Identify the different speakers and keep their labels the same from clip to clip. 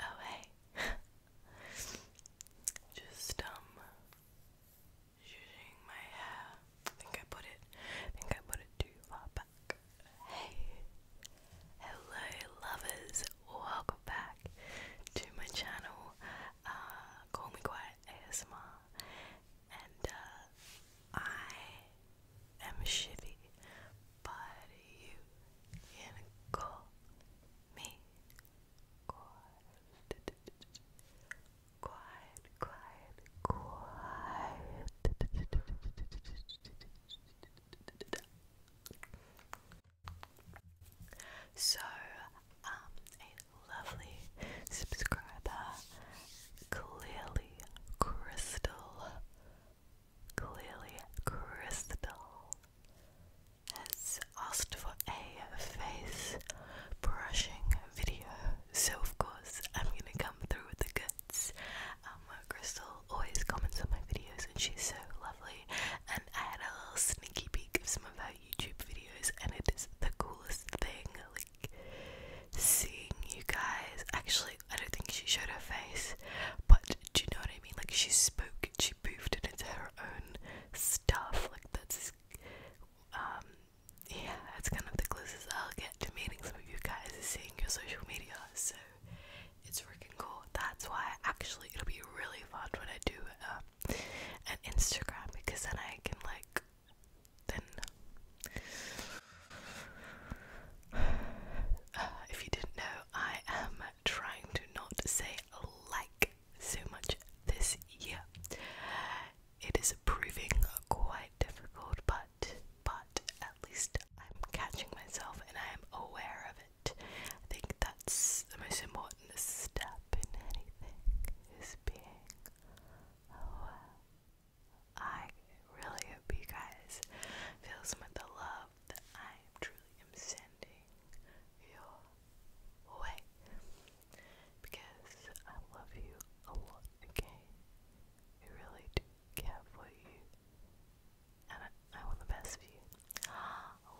Speaker 1: Oh hey. Just um shooting my hair. I think I put it I think I put it too far back. Hey. Hello lovers. Welcome back to my channel. Uh call me quiet ASMR and uh, I am Shivy, but you can call me quiet, quiet, quiet, So, um, lovely subscriber, uh, clearly crystal, clearly crystal, has asked for a face brushing video, so of course I'm gonna come through with the goods. Um, Crystal always comments on my videos, and she's so lovely. And I had a little sneaky peek of some of her YouTube videos, and it is the coolest thing. Like seeing you guys. Actually, I don't think she showed her face, but do you know what I mean? Like she spoke, she poofed into her own stuff. Like that's um yeah, that's kind of the closest I'll get to meeting some of you guys is seeing your social media. So it's freaking cool. That's why actually it'll be really fun when I do um, an Instagram because then I can like then uh, if you didn't know, I am trying to not say like so much this year. It is proving quite difficult, but but at least I'm catching myself and I am aware of it. I think that's the most important step in anything is being Oh, I really hope you guys feel some of the love that I truly am sending your way because I love you a lot, okay? I really do care for you and I want the best for you.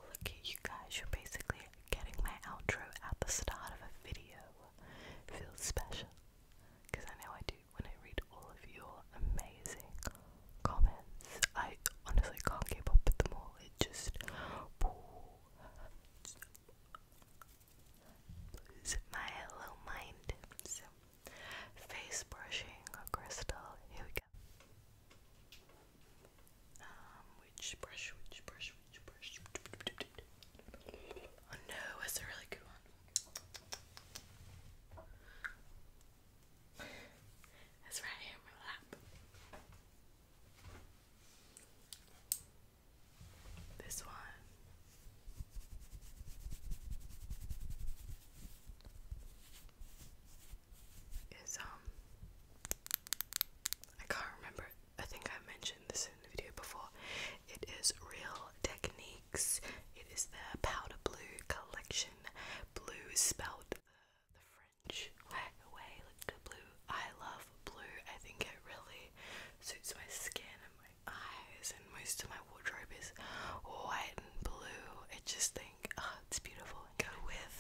Speaker 1: Look at you guys, you're basically getting my outro at the start of a video feels special because I know I do when I read all of your amazing comments. I honestly can't keep up with them all, it just lose my little mind. face brushing or crystal, here we go. Um, which brush, which brush, which brush. Oh no, that's a really good one. It's right here in my lap. This one. Is um I can't remember I think I mentioned this in the video before. It is Real Techniques. It is their powder blue collection. Blue is spelled the, the French way away. Look at blue. I love blue. I think it really suits my skin and my eyes and most of my wardrobe is white and blue. I just think, oh, it's beautiful. Go with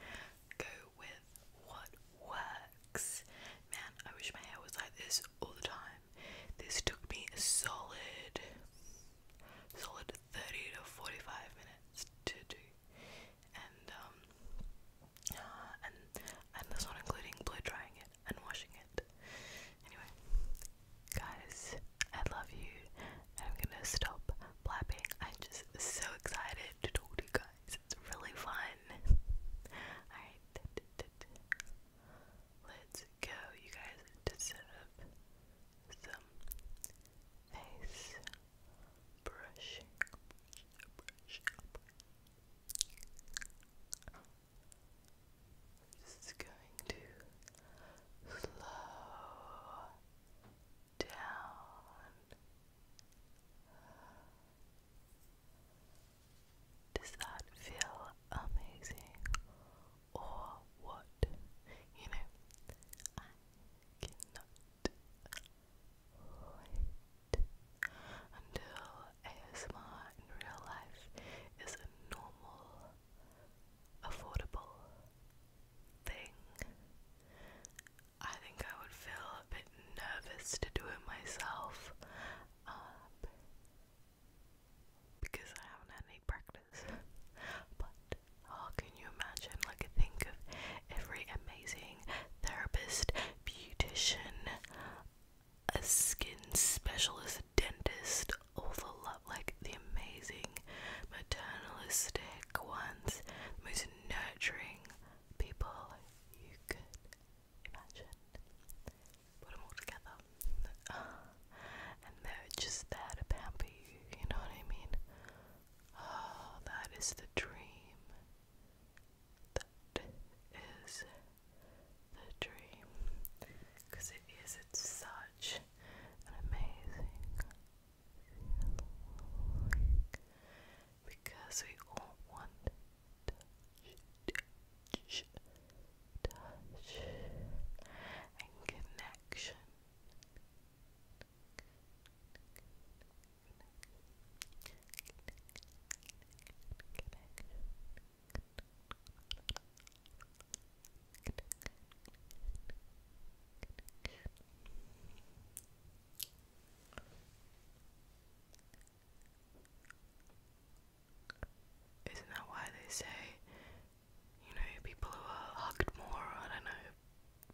Speaker 1: go with what works. Man, I wish my hair was like this all the time. This took me a solid, solid 30 to 45 minutes to do. And, um, uh, and, and that's not including blow drying it and washing it. Anyway, guys, I love you. And I'm gonna stop blabbing. I'm just so excited to talk to you guys guys. It's really fun. Alright. Let's go, you guys, to set up some face Brush up. This is going to slow down. Does that feel amazing? Or what? You know, I cannot wait until ASMR in real life is a normal, affordable thing. I think I would feel a bit nervous to do it myself um, because I haven't had any practice. But oh, can you imagine? Like, I think of every amazing therapist, beautician, a skin specialist, dentist, all the like the amazing maternalistic ones, most nurturing people you could imagine. Put them all together. and they're just there to pamper you, you know what I mean? Oh, that is the dream. That is the dream. Because it is such an amazing because we all want to touch, and connection. Connection. Isn't that why they say, you know, people who are hugged more, I don't know,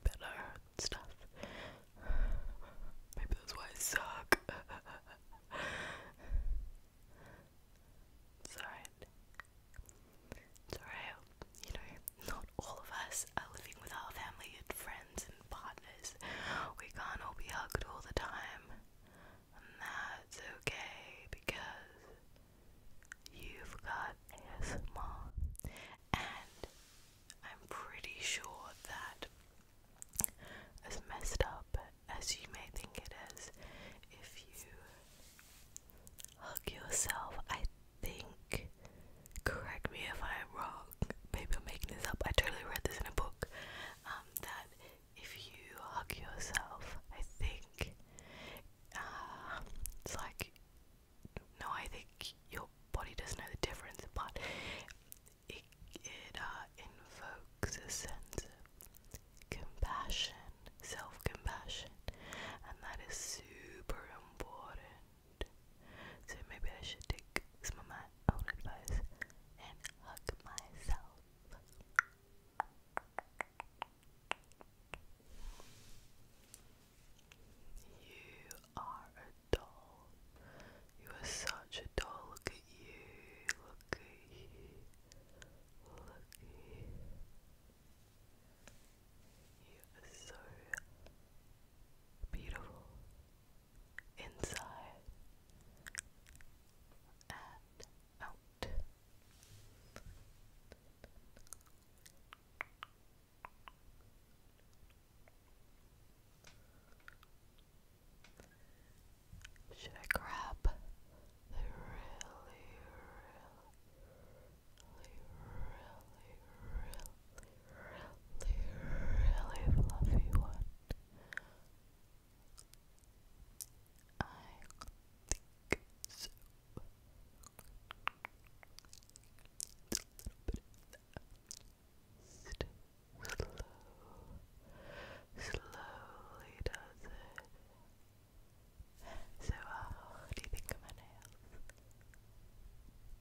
Speaker 1: better stuff? Maybe that's why I suck. it's alright. you know, not all of us are uh, living with our family and friends and partners. We can't all be hugged all the time. And that's okay because you've got ASMR. And I'm pretty sure that as messed up as you may think it is, if you hug yourself, I think, correct me if I'm wrong, maybe I'm making this up, I totally read this in a book, um, that if you hug yourself, I think, uh, it's like, no, I think your body doesn't know the difference, but it, it uh, invokes a sense of compassion, self compassion, and that is super important. So maybe I should take some of my own advice and hug myself. You are a doll. You are such a doll. Look at you. Look at You are so beautiful inside and out. Should I grab really, really fluffy one. I think so. slowly does it. So, uh, do you think of my nails?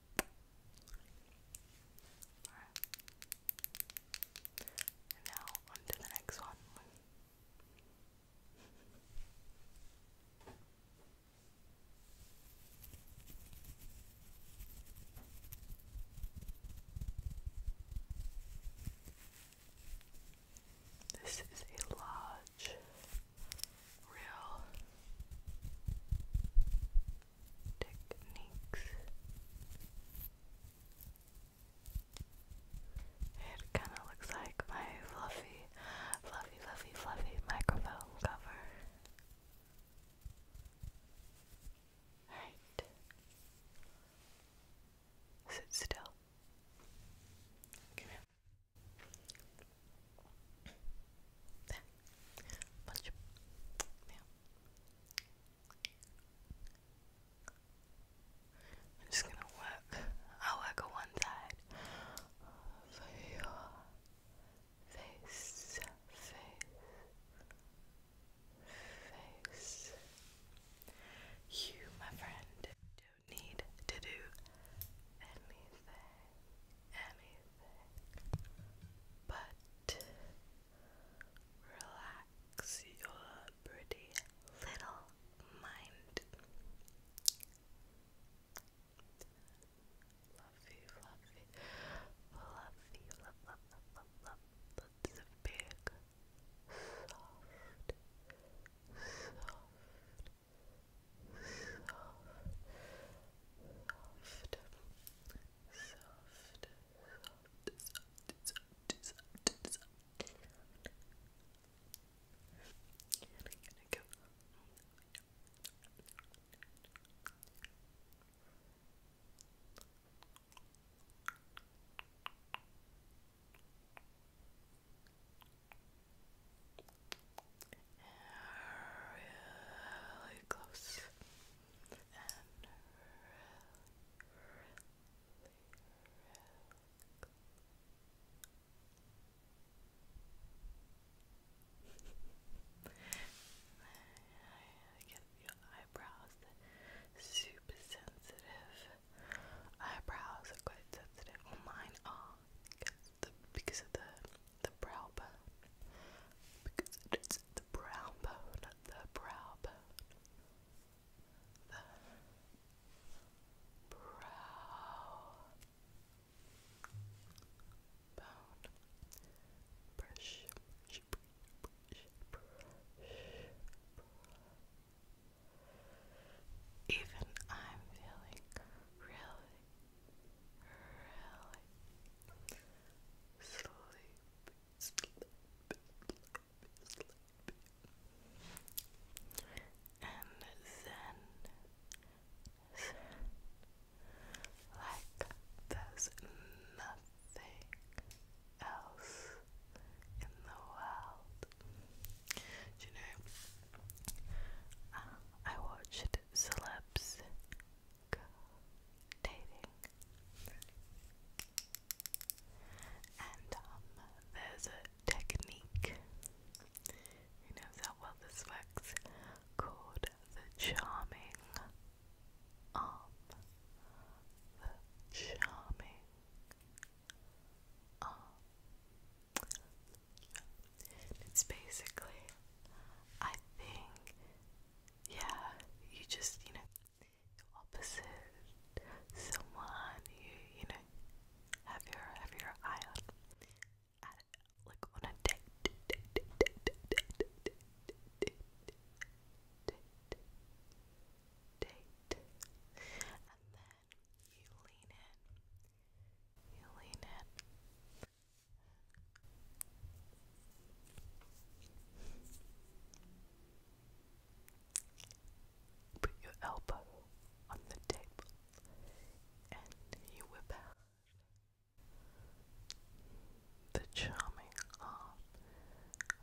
Speaker 1: Alright. And now on the next one. This is a large real techniques. It kind of looks like my fluffy, fluffy, fluffy, fluffy microphone cover. Alright. Sit still. Come here. There. I'm just gonna work. i work on one side face, face, face. You, my friend, don't need to do anything but relax your pretty little mind. Fluffy, fluffy, fluffy, love, love, love, love, a big, soft, soft, soft, soft, soft, soft, soft, And I'm really close I get your eyebrows super sensitive. Eyebrows are quite sensitive. Oh, mine are because of the the brow bone. Because it's the brow bone, the brow bone. The brow bone. Even I'm feeling really Really? Sleepy, And then, like there's nothing else in the world. you know? I watched that dating. And um, there's a technique, you know how well this works, called the charming arm. The charming arm. It's basically, I think, yeah, you just, you know, opposite someone you, you know, have your, have your eye on, at, like on a date, date, date, date, date, date, date, date, date, and then you lean in, you lean in, Put your elbow on the table and you whip out the charming arm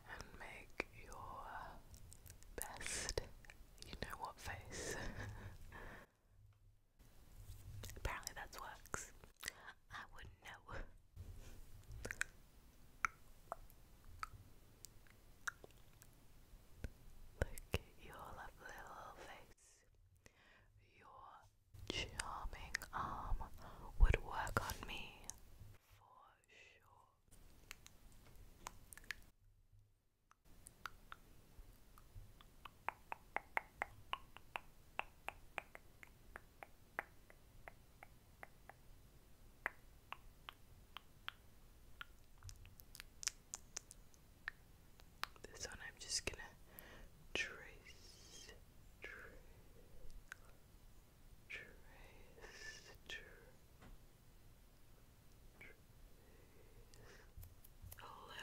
Speaker 1: and make your best, you know what face. Apparently that's works. I wouldn't know. Look at your lovely little face. Your charming arm would work on me for sure. This one I'm just gonna trace, trace, trace, trace a little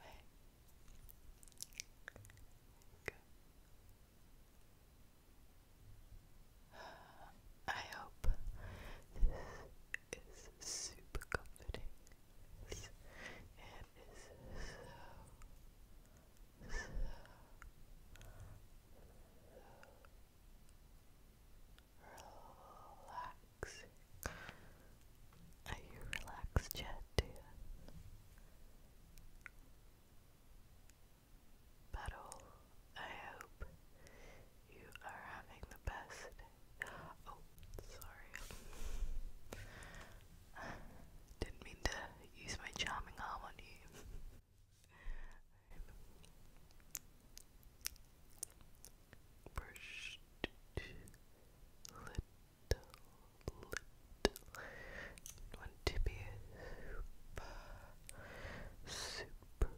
Speaker 1: Ouais. Good. I hope this is super comforting. It is so, so, so relax. Are you relaxed yet, dear? But all, I hope you are having the best Oh, sorry. Didn't mean to use my charming arm on you. First, little, little. Want to be a super,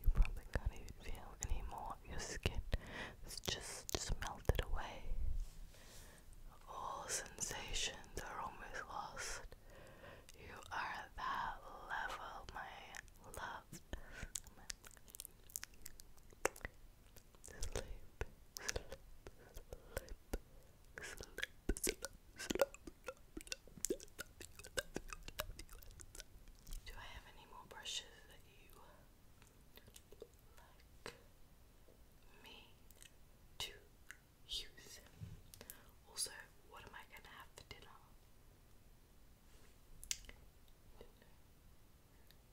Speaker 1: you probably can't even feel anymore. Your skin has just, melted away. All sensations are almost lost. You are at that level, my love. Sleep, Do I have any more brushes that you like me to use? Also, what am I gonna have for dinner?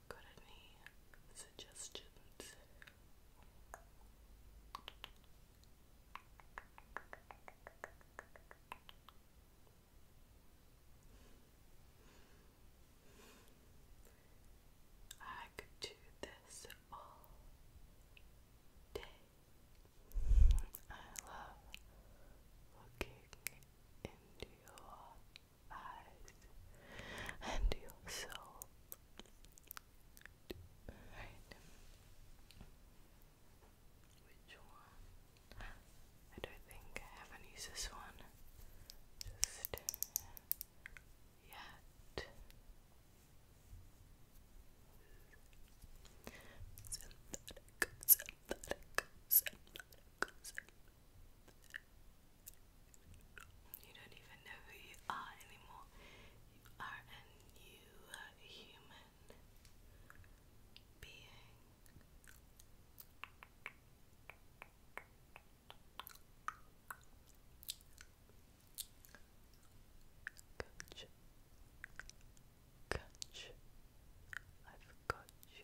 Speaker 1: Got any suggestions? I could do this all day. I love looking into your eyes and your soul. Right. Which one? I don't think I haven't used this one. Just yet. Synthetic, synthetic, synthetic, you don't even know who you are anymore. You are a new human being. Catch, catch, I've got you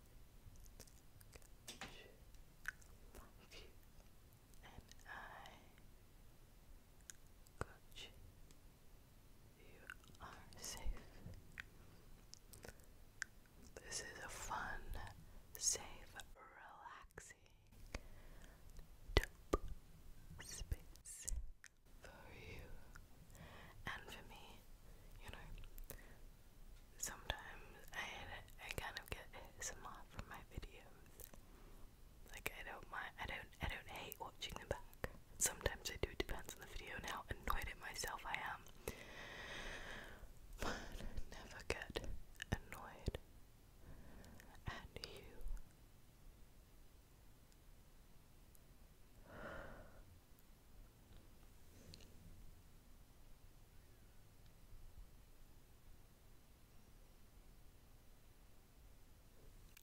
Speaker 1: love you, and I got You are safe. This is a fun, safe, relaxing, dope space for you and for me, you know sometimes I I kind of get ASMR from my videos. Like I don't mind I don't I don't hate watching them back. Sometimes I do depends on the video and how annoyed at myself I am. But never get annoyed at you.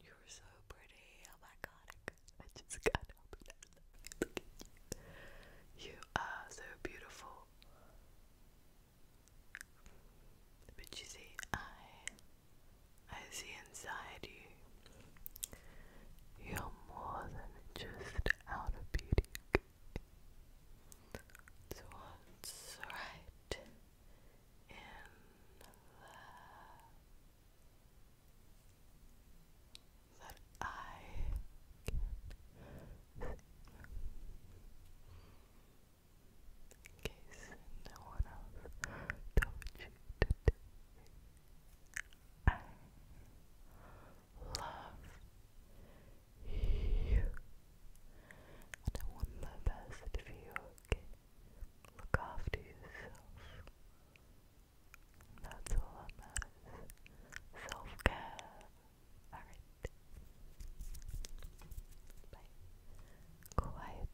Speaker 1: You're so pretty. Oh my god, I just can't help it. Look you. You are so beautiful. But you see, I, I see inside you. You're more than just out beauty to what's right in there that I can no one else told you I love you. And I want my best for you, okay? Look after yourself. That's all that matters. Self care. Alright. Bye. Quiet.